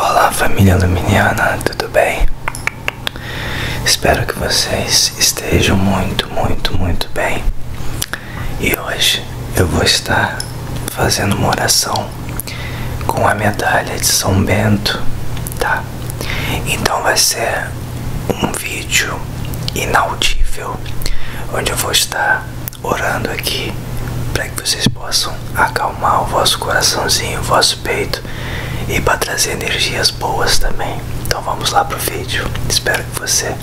Olá família luminiana, tudo bem? Espero que vocês estejam muito, muito, muito bem. E hoje eu vou estar fazendo uma oração com a medalha de São Bento, tá? Então vai ser um vídeo inaudível onde eu vou estar orando aqui para que vocês possam acalmar o vosso coraçãozinho, o vosso peito e para trazer energias boas também. Então vamos lá pro vídeo. Espero que você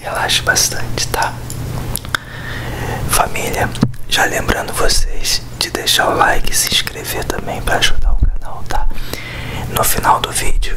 relaxe bastante, tá? Família, já lembrando vocês de deixar o like e se inscrever também para ajudar o canal, tá? No final do vídeo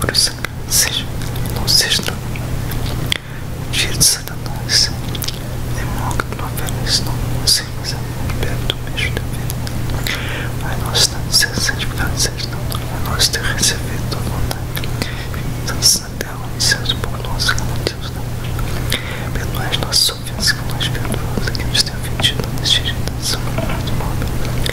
Coração, seja não seja dia de Satanás, demônio que não oferece, não consigo, mas muito perto do mesmo nós estamos nosso, seja santificado, seja não, Pai nosso, ter recebido tua vontade. Vingança na terra, e seja o por nós que Deus não. Perdoai as nossas ofensas, que nós perdoamos a quem nos tem ofendido, não deixe de dar seu nome,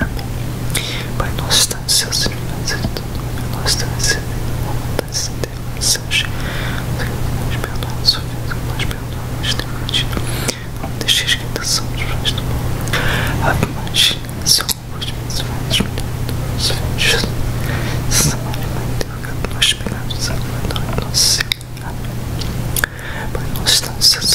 Amém. Pai nosso está nos seus irmãos e todo mundo nós está recebendo a vontade de Deus, seja nós perdoamos o filho, nós perdoamos teu pedido. Não deixes que tentação nos faz do mal. Ave Maria, Senhor, os abençoados, os filhos, Santa Maria, Mãe de Deus, nós pecados, agora e nosso Senhor. Amém. Pai nosso está nos seus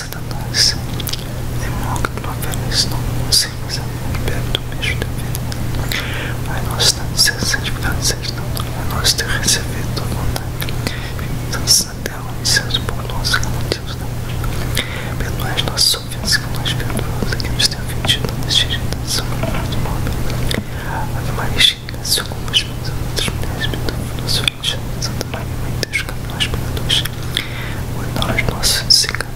Tá da tá tá né? nossa demócrata oferece não conseguimos amor perto do mesmo dever Pai nosso não ser santificado seja teu nome Pai nosso ter recebido tua vontade Permita-nos na terra e seus por nós né? que motivos da morte Perdoai nossas ofensas que nós perdoamos a quem nos tem ofendido neste dia da sombra do nosso morte Ave Maria cheia como os meus outros mulheres perdoam nosso filho Santa Maria Deus que nós pecadores Hoje nós nossos secamos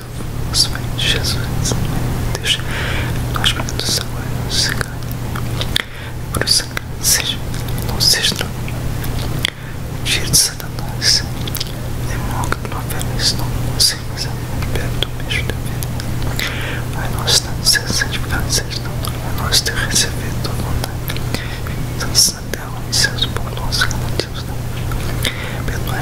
nosso os filhos de Jesus, Deus, nós pedimos agora o sangue, por o sangue seja nosso estrão, tira de Satanás, demônio que não oferece, não consigas perto do mesmo dever, Pai nosso, tanto ser santificado, seja não, Pai nosso, ter recebido tua vontade, tanto então, na terra, como em céus, o pão nosso, que não temos, não, perdoai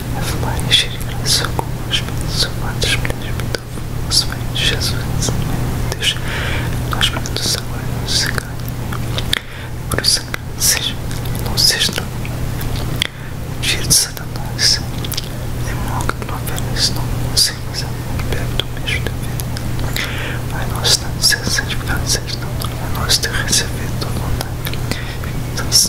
a falar e encher a graça com os meus sapatos, mulheres, pitovo, se bem, Jesus, Deus, nós o perguntamos agora, não se ganha, por isso que seja, não seja não, giro de Satanás, e mal que não oferece, não consigo, mas é bebe do mesmo dever, Pai nosso, não se santificado, seja não, Pai nosso, te receber tua vontade, então se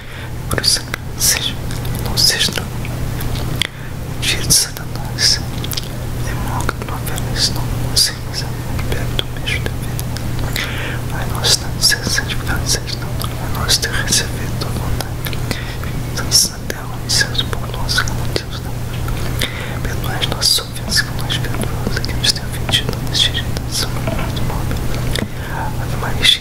por isso Burası não seja seçtim. Diante é de nós, Demócrito oferece não simples império do mesmo dever. Mas nós temos ser santificados, não é nós ter recebido tua vontade. Vingança na terra, licença por nós, que não temos não. Perdoais nossas ofensas, que nós perdoamos, que nos tem ofendido, nas diretas, são muito móvel. Ave Maria,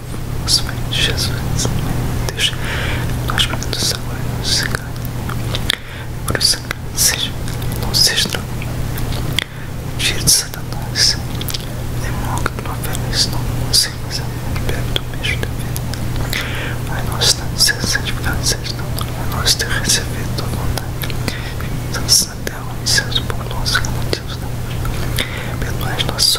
os velhos Jesus, Deus, nós vamos agora o sangue, por o sangue seja nosso estranho, tira de Satanás, demônio que não oferece, não consigas amor, bebe do mesmo dever, mas nós estamos sendo santificados, seja não, nós ter recebido tua vontade, vimos na terra, e seus por nós, como Deus, não, perdoais nossos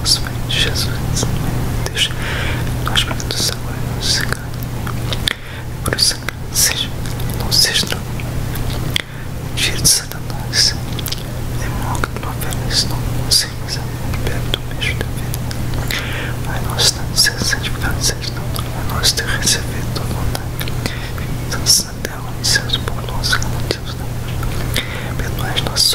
nosso filhos de Jesus, Deus, nós pedimos agora no sangue, por o sangue seja nosso extra, cheio de Satanás, é mal que não oferece, não conseguimos beber do mesmo da vida, mas nós estamos sendo santificados, não, nós temos recebido toda tá a vontade, vivemos na terra, no céu, por nós, como Deus, não, perdoai nossos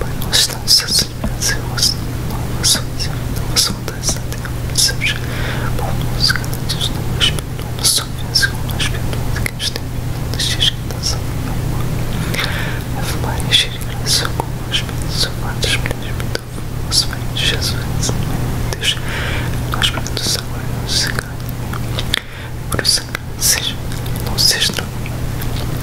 Mas não estão sozinhas, eu as novas novas vontades da terra, mas eu já por nos cantos não as perdoam, não só vence com as perdoas que as tem, não deixes que da salva não A fumar e encher e graça com as pedras, amados, mulheres, muito famoso, vem Jesus, meu Deus, nós prendos agora não se caem, por isso não seja, não seja, não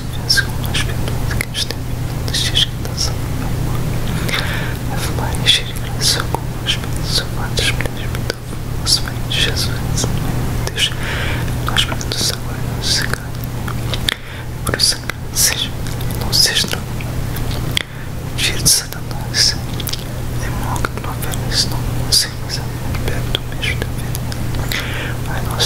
convenceu nós pedimos que as terminas diz que dançam meu corpo. A fumar encher e graça com os pés, sovados, presbítero, nosso bem, Jesus, meu Deus, nós pedimos agora não se calhe. Por isso, seja, não seja não. Giro de Satanás, é mal que não oferece, não consigo, mas é perto do mesmo dever. Mas nós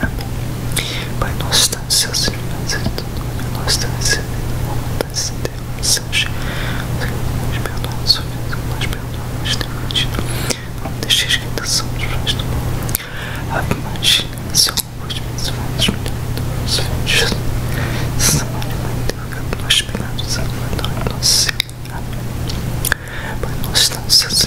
Amém. Pai nosso que estás no céu, santificado seja o nosso nome, seja vontade de seja nos perdoa nós perdoamos também Não deixes que tentação nos faz do mal. Ave Maria, Senhor, pois abençoados filhos. Santa Maria, Mãe de Deus, que nós pecados, agora e nosso Senhor. Amém. Pai nosso que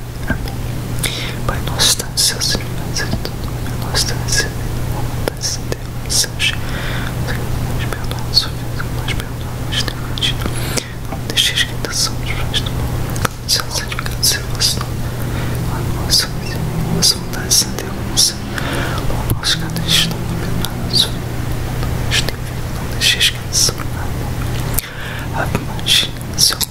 busca. Amém. Pai nosso que estás no céu, Senhor, nosso está no céu, seja perdoado os ofensas, nós perdoamos os demantes. Não deixes que tentação nos não do mal. Seja santificado seja o vosso não A nossa vossa vontade se interrompe. O não canto está perdoado. Não deixes que tentação nos faz do mal. Ave Maria, Senhor.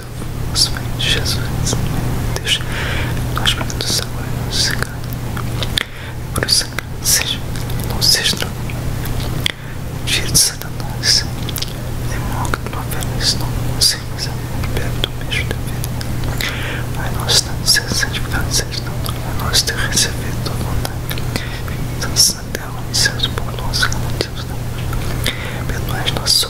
Santo, os Jesus, Deus, nós vamos do Senhor, não se engane, por o sangue seja, não seja tira de Satanás, é é demônio que não oferece, não conseguimos bebe do mesmo dever, Pai nosso, não seja santificado, seja não, Pai ter recebido tua vontade, vingança na terra, no céu, por nós, como Deus, não, perdoai nossos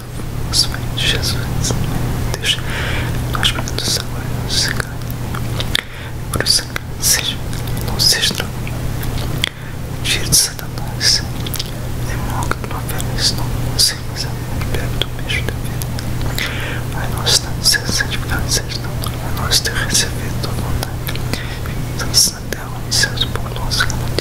santo, os filhos de Jesus, Deus, nós pedimos agora no sangue, por o sangue seja nosso o tira de Satanás, demônio que não oferece, não consigas, liberta do beijo da vida, Pai nosso, não seja santificado, seja não, Pai nosso, ter recebido tua vontade, vingança na terra, licença por nós, que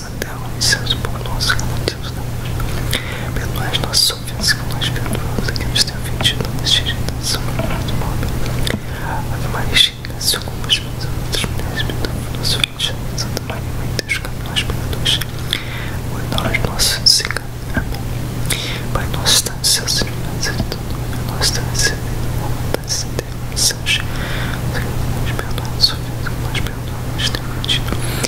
sandalam em seus por nós, seus não. Perdoais nossas ofensas, nós perdoamos que nos tem ofendido, não deixe tentação, mas nos pobre. Ave Maria, cheia, se algumas mãos a outras mulheres, perdoa nosso filho, Santa Maria, Mãe de Deus, que nós pecadores, guarda as nossas secas. Amém. Pai nosso, está no céu, Senhor, mas todo mundo, nós estamos recebendo, vontade de Deus, sangue, Senhor, nos perdoa, nos ofendas, nós perdoamos, temos ofendido.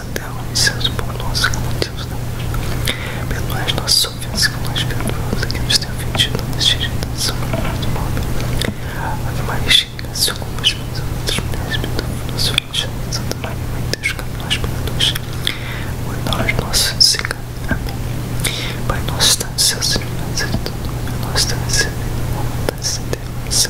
na terra e seus por nós cometidos não né? Perdoais nossas ofensas, como nós perdoamos a quem nos tem ofendido, não nos tiração do nosso pobre. Ave Maria, cheia, seu como os meus outras mulheres, perdoa nosso ofendido, Santa Maria, Mãe de Deus, cabe nós pecadores, hoje nós nossos pecados. Amém. Pai nosso, está no céu, Senhor, mas é de todo mundo, nós temos recebido, vontade de Deus,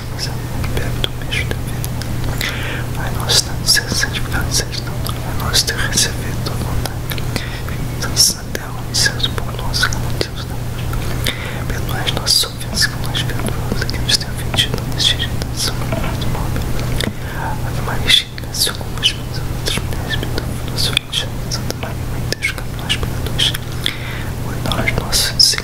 cinza o bebe do mesmo dever. Pai nós estamos sendo seja teu nome, Pai nosso ter recebido tua vontade. Vingança na terra, e seja por nós, que motivos da morte. Perdoai nossas ofensas, como nós perdoamos a quem nos tem ofendido, nos dirige da sua morte móvel. Ave Maria, cheia de graça, como os meus outros mulheres, perdoa nosso ofendido, Santa Maria, Mãe de Deus, que é nós pecadores. Hoje nós, nossos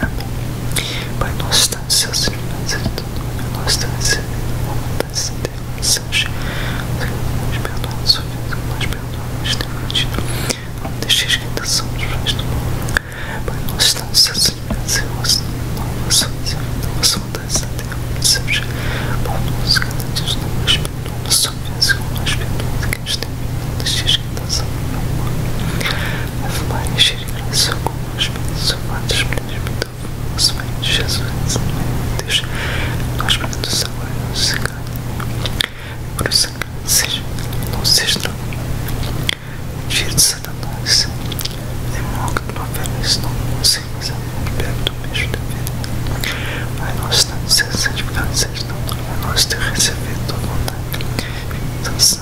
Amém. Pai nosso, dá seus irmãos e tudo. Pai nosso, dá vontade de Deus. Sanche, nós perdoamos o filho, nós perdoamos teu pedido. Não deixes que ainda somos mais do mundo. Pai nosso, dá seus irmãos e nosso nome, nosso filho, nossa vontade de Deus. Sanche, por nós, cada dia, nós perdoamos, só mesmo nós perdoamos que a gente tem. Não deixes ostentação nenhuma. A falar e encher a graça com os pedidos amados, transmitiu o vosso bem de Jesus, de Deus, nós para todos agora e não se engane. Agora o sangue seja, não seja não. Giro de Satanás, é mal que não oferece, não consigo, não é bebe o mesmo da vida. Pai nosso, tanto ser santificado, seja não, Pai nosso, ter recebido tua vontade. Então,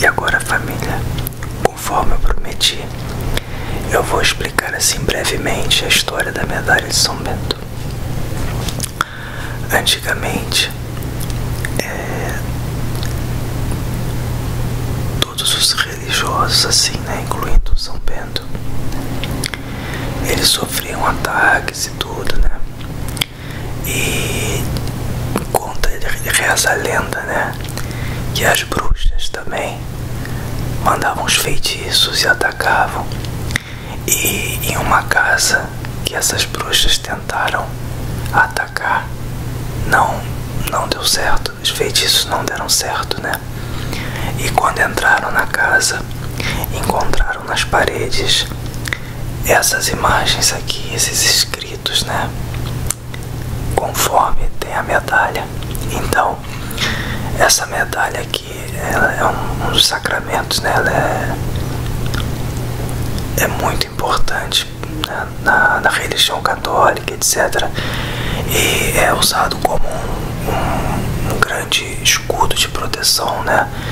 e agora, família, conforme eu prometi, eu vou explicar assim brevemente a história da medalha de São Bento. Antigamente, é, todos os religiosos, assim, né, incluindo São Bento, eles sofriam ataques e tudo, né? E conta, reza a lenda, né? Que as bruxas também mandavam os feitiços e atacavam. E em uma casa que essas bruxas tentaram atacar, não, não deu certo, os feitiços não deram certo, né? E quando entraram na casa, encontraram nas paredes essas imagens aqui, esses escritos, né? Conforme tem a medalha. Então, essa medalha aqui é um, dos sacramentos, né? Ela é, é muito importante né? na, na religião católica, etc. E é usado como um grande escudo de proteção, né?